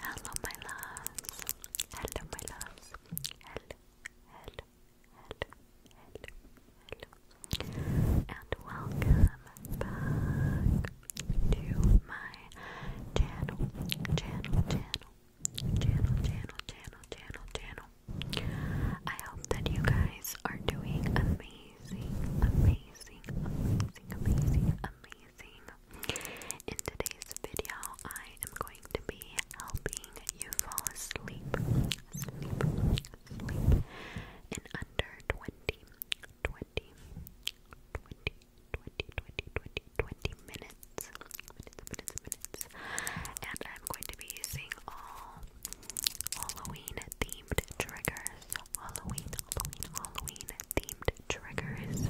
Hello, my loves. Hello, my loves. Hello, hello, hello, hello, hello. And welcome back to my channel, channel, channel, channel, channel, channel, channel, channel. I hope that you guys are doing amazing, amazing, amazing, amazing, amazing. In today's video, I am going to be helping you fall asleep, in under 20, minutes, And I'm going to be using all Halloween themed triggers, Halloween, themed triggers.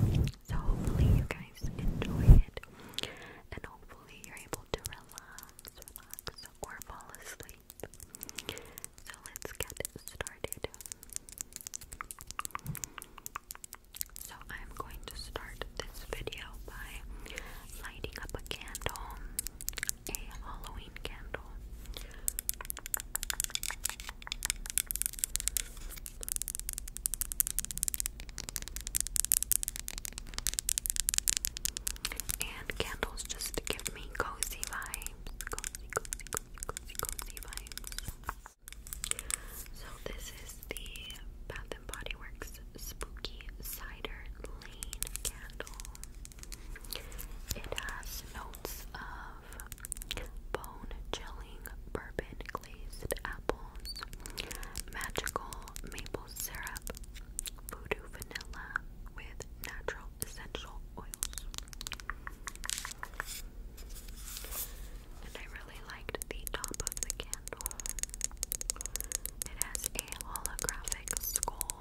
So hopefully you guys enjoy it, and hopefully you're able to relax, relax, or fall asleep. So let's get started. So I'm going to start this video by lighting up a candle, a Halloween candle. And candles just give me cozy vibes. Cozy, cozy, cozy, cozy, cozy vibes. So this is the Bath and Body Works Spooky Cider Lane candle. It has notes of have bone chilling bourbon glazed apples, magical maple syrup, voodoo vanilla with natural essential oils. And I really liked the top of the candle. It has a holographic skull.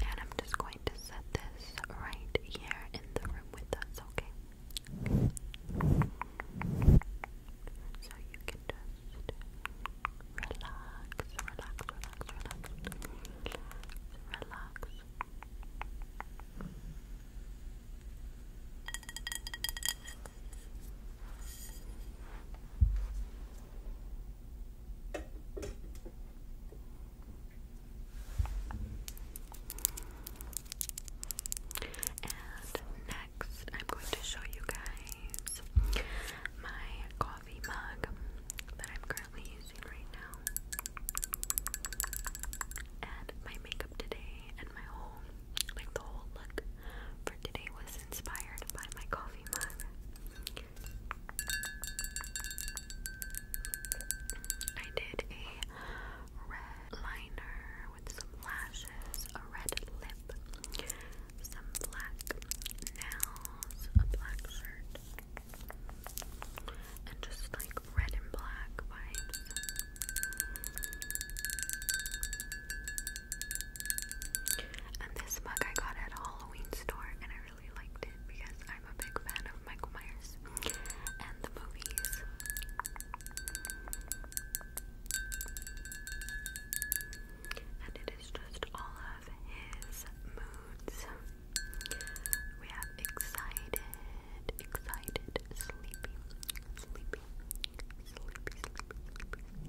And I'm just going to set this right here in the room with us, okay? So you can just relax, relax, relax, relax, relax. And next, I'm going to show you guys my coffee mug that I'm currently using right now. And my makeup today and my whole, like the whole look for today was inspired by my coffee mug. I did a red liner with some lashes, a red lip, some black nails, a black shirt, and just like red and black vibes. And this mug I got at a Halloween store and I really liked it because I'm a big fan of Michael Myers and the movies. And it is just all of his moods. We have excited, excited, sleepy, sleepy, sleepy, sleepy,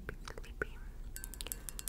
sleepy, sleepy,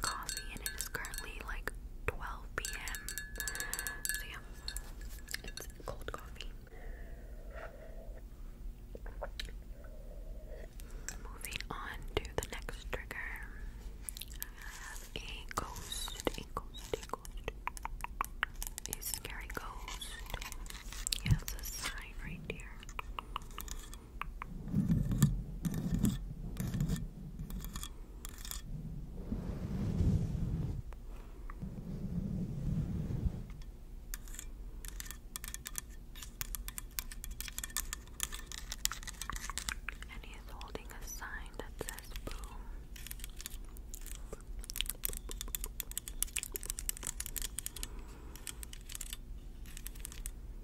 coffee and it is currently like 12 p.m. So yeah, it's cold coffee. Moving on to the next trigger. I have a ghost, a ghost, a ghost, a scary ghost. Yeah, a sign right here. And he's holding a sign that says boom.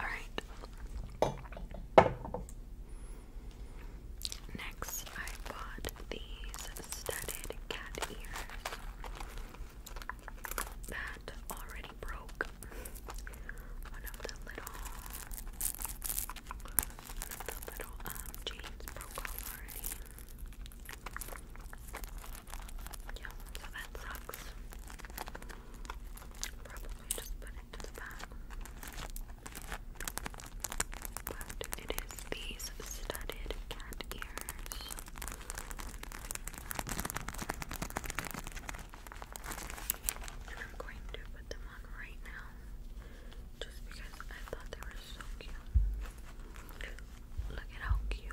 All right. Next, I bought these studded cat ears that already broke one of the little, one of the little um chains broke off already. Yeah, so that sucks. Probably just put it to the back. But it is these studded cat ears. And I'm going to put them on right now just because I thought they were so cute. Look at how cute.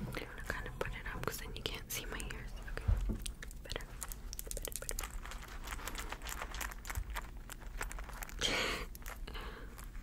I'm gonna kind of put it up because then you can't see my ears. Okay, better, better, better.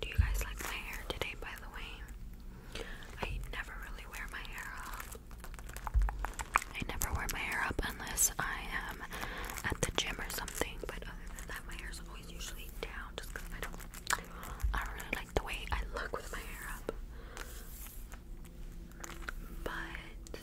Do you guys like my hair today, by the way? I never really wear my hair up. I never wear my hair up unless I am at the gym or something, but other than that, my hair is always usually down I don't, I really like the way I look with my hair up. But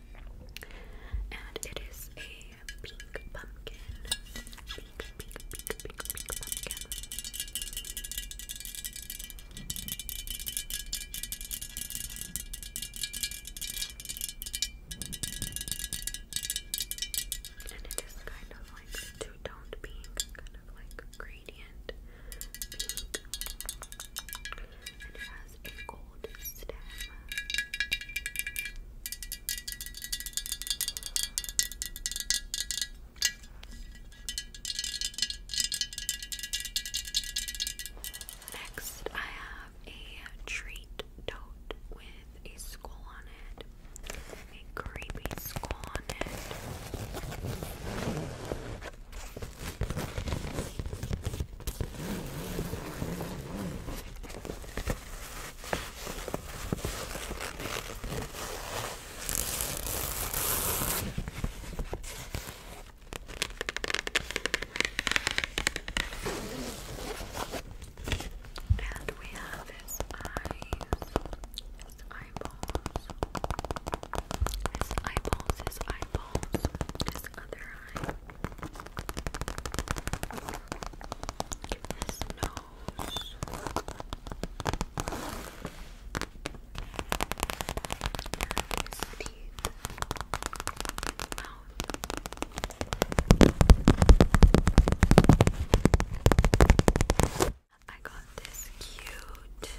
And it is a pink pumpkin. Pink, pink, pink, pink, pink, pumpkin. And it is kind of like two-toned pink, kind of like gradient pink and it has a gold stem. Next, I have a treat tote with a skull on it, a creepy skull on it. And we have his eyes, his eyeballs, his eyeballs, his eyeballs, his other his nose. His teeth. Mouth. I got this cute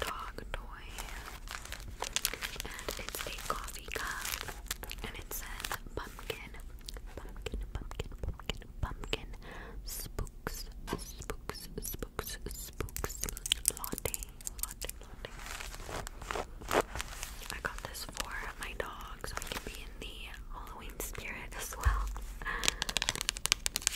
dog toy. And it's a coffee cup. And it says pumpkin. Pumpkin, pumpkin, pumpkin, pumpkin. Spooks, spooks, spooks, spooks. Latte, latte, latte. I got this for my dog so I can be in the Halloween spirit as well.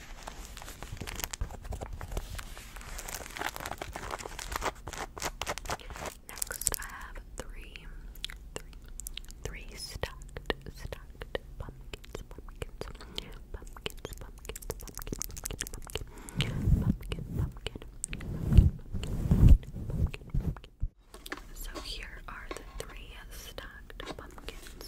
Next, I have three, three, three stacked, pumpkins, So here are the three stacked pumpkins.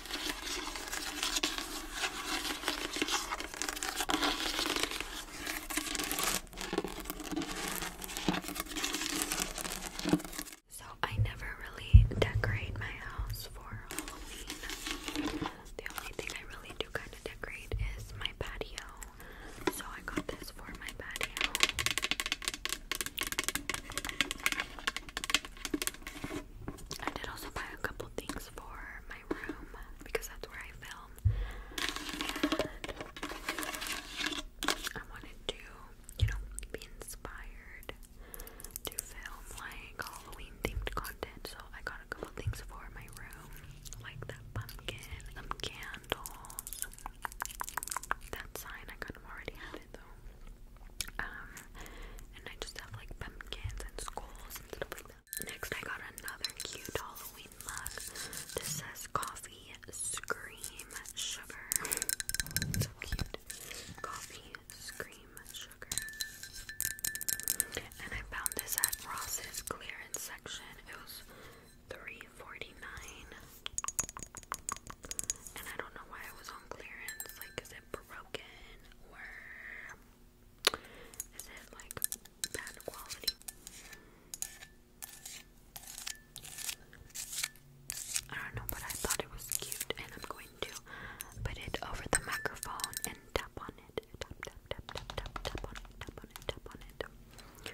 So, I never really decorate my house for Halloween. The only thing I really do kind of decorate is my patio. So, I got this for my patio. I did also buy a couple things for my because that's where I film. And I wanted to, you know, be inspired to film like Halloween themed content, so I got a couple things for my room, like that pumpkin, some um, candles. That sign I kind of already had it though. Um, and I just have like pumpkins and skulls and stuff like that. Next, I got another cute Halloween mug. This says coffee scream sugar. So cute. Coffee scream sugar. And I found this at Ross's clearance section. It was three forty nine. And I don't know why it was on clearance. Like, is it broken is it like bad quality? I don't know, but I thought it was cute, and I'm going to put it over the microphone and tap on it. Tap, tap, tap, tap, tap, tap on it, tap on it, tap on it.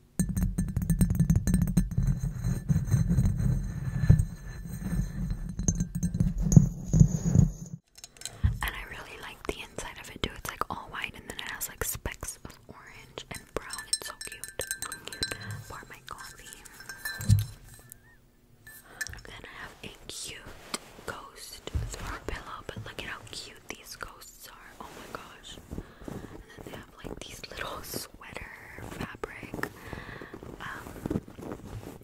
And I really like the inside of it too. It's like all white and then it has like specks of orange and brown. It's so cute. Pour my coffee. Then I have a cute ghost throw pillow, but look at how cute these ghosts are. Oh my gosh. And then they have like these little sweater fabric. Um,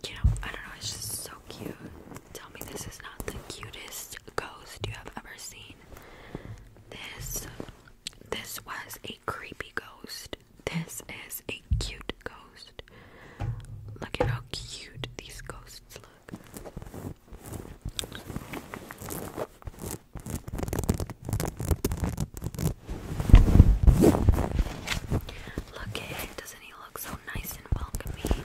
you know, I don't know, it's just so cute. Tell me this is not the cutest ghost you have ever seen. This this was a creepy ghost. This is a cute ghost. Look at how cute these ghosts look. Look at it, doesn't he look so nice and welcoming?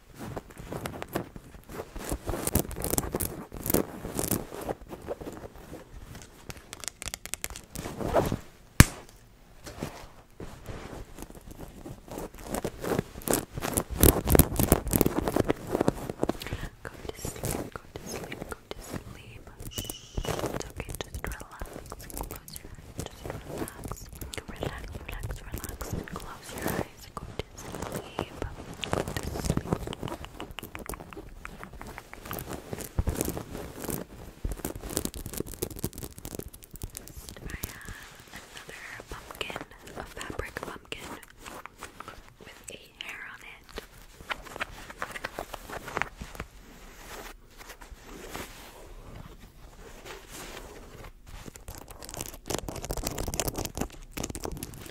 Go to sleep, go to sleep, go to sleep. Shh, it's okay, just relax. Close your eyes, just relax. Relax, relax, relax, and close your eyes guys I have another pumpkin, a fabric pumpkin with a hair on it.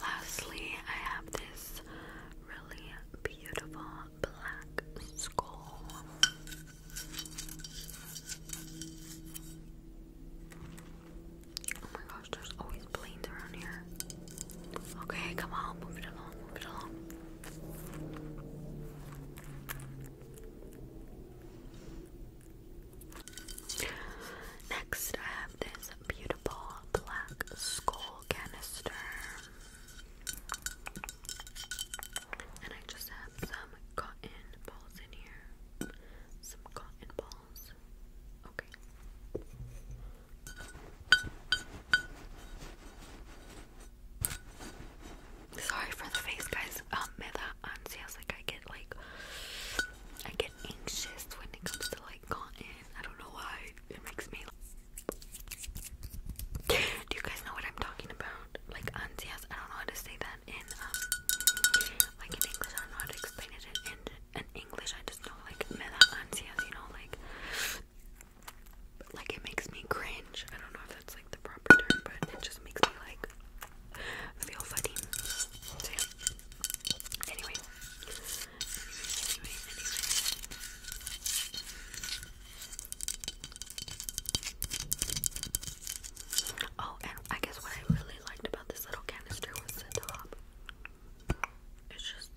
Lastly, I have this really beautiful black skull. Oh my gosh, there's always planes around here. Okay, come on, move it along, move it along. Next, I have this beautiful black skull canister. And I just have some cotton balls in here. Some cotton balls. Sorry for the face, guys. Um, me da ansias. I get like, I get anxious when it comes to like cotton. I don't know why. It makes me. Do you guys know what I'm talking about? Like ansia, I don't know how to say that in um, like in English. I don't know how to explain it in in, English. I just know like me da ansias, you know, like like it makes me cringe. I don't know if that's like the proper term, but it just makes me like feel funny. So yeah. anyway. Oh, and I guess what I really liked about this little canister was the top. It's just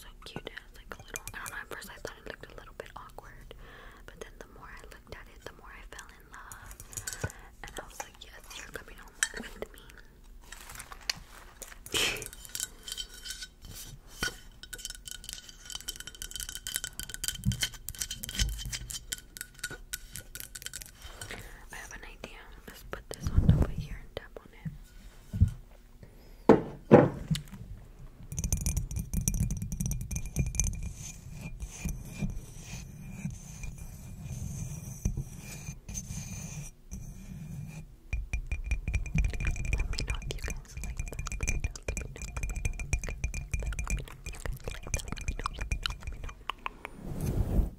so cute. It has like a little. I don't know. At first, I thought it looked a little bit awkward, but then the more I looked at it, the more I fell in love, and I was like, "Yes, you're coming home with me." I have an idea. Let's put this one over here and tap on it. Let me know if you guys like that. Let me know, let me know, let me know, let me know, let me let me know, let me know.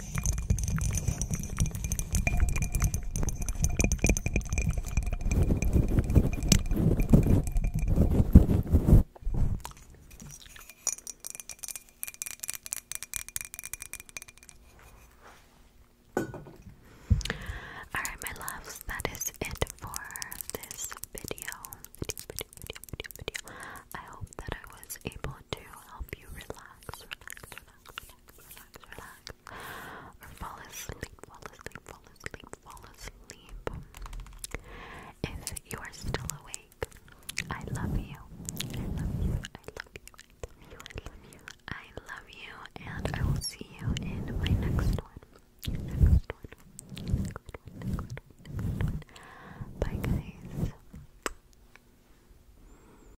Alright, my loves, that is it for this video. I hope that I was able to help you relax, relax, relax, fall asleep, fall asleep, fall asleep, fall asleep. If you are still awake, I love you. I love you. I love you. I love you. I love you. And I will see you in my next one. Next one. Bye, guys.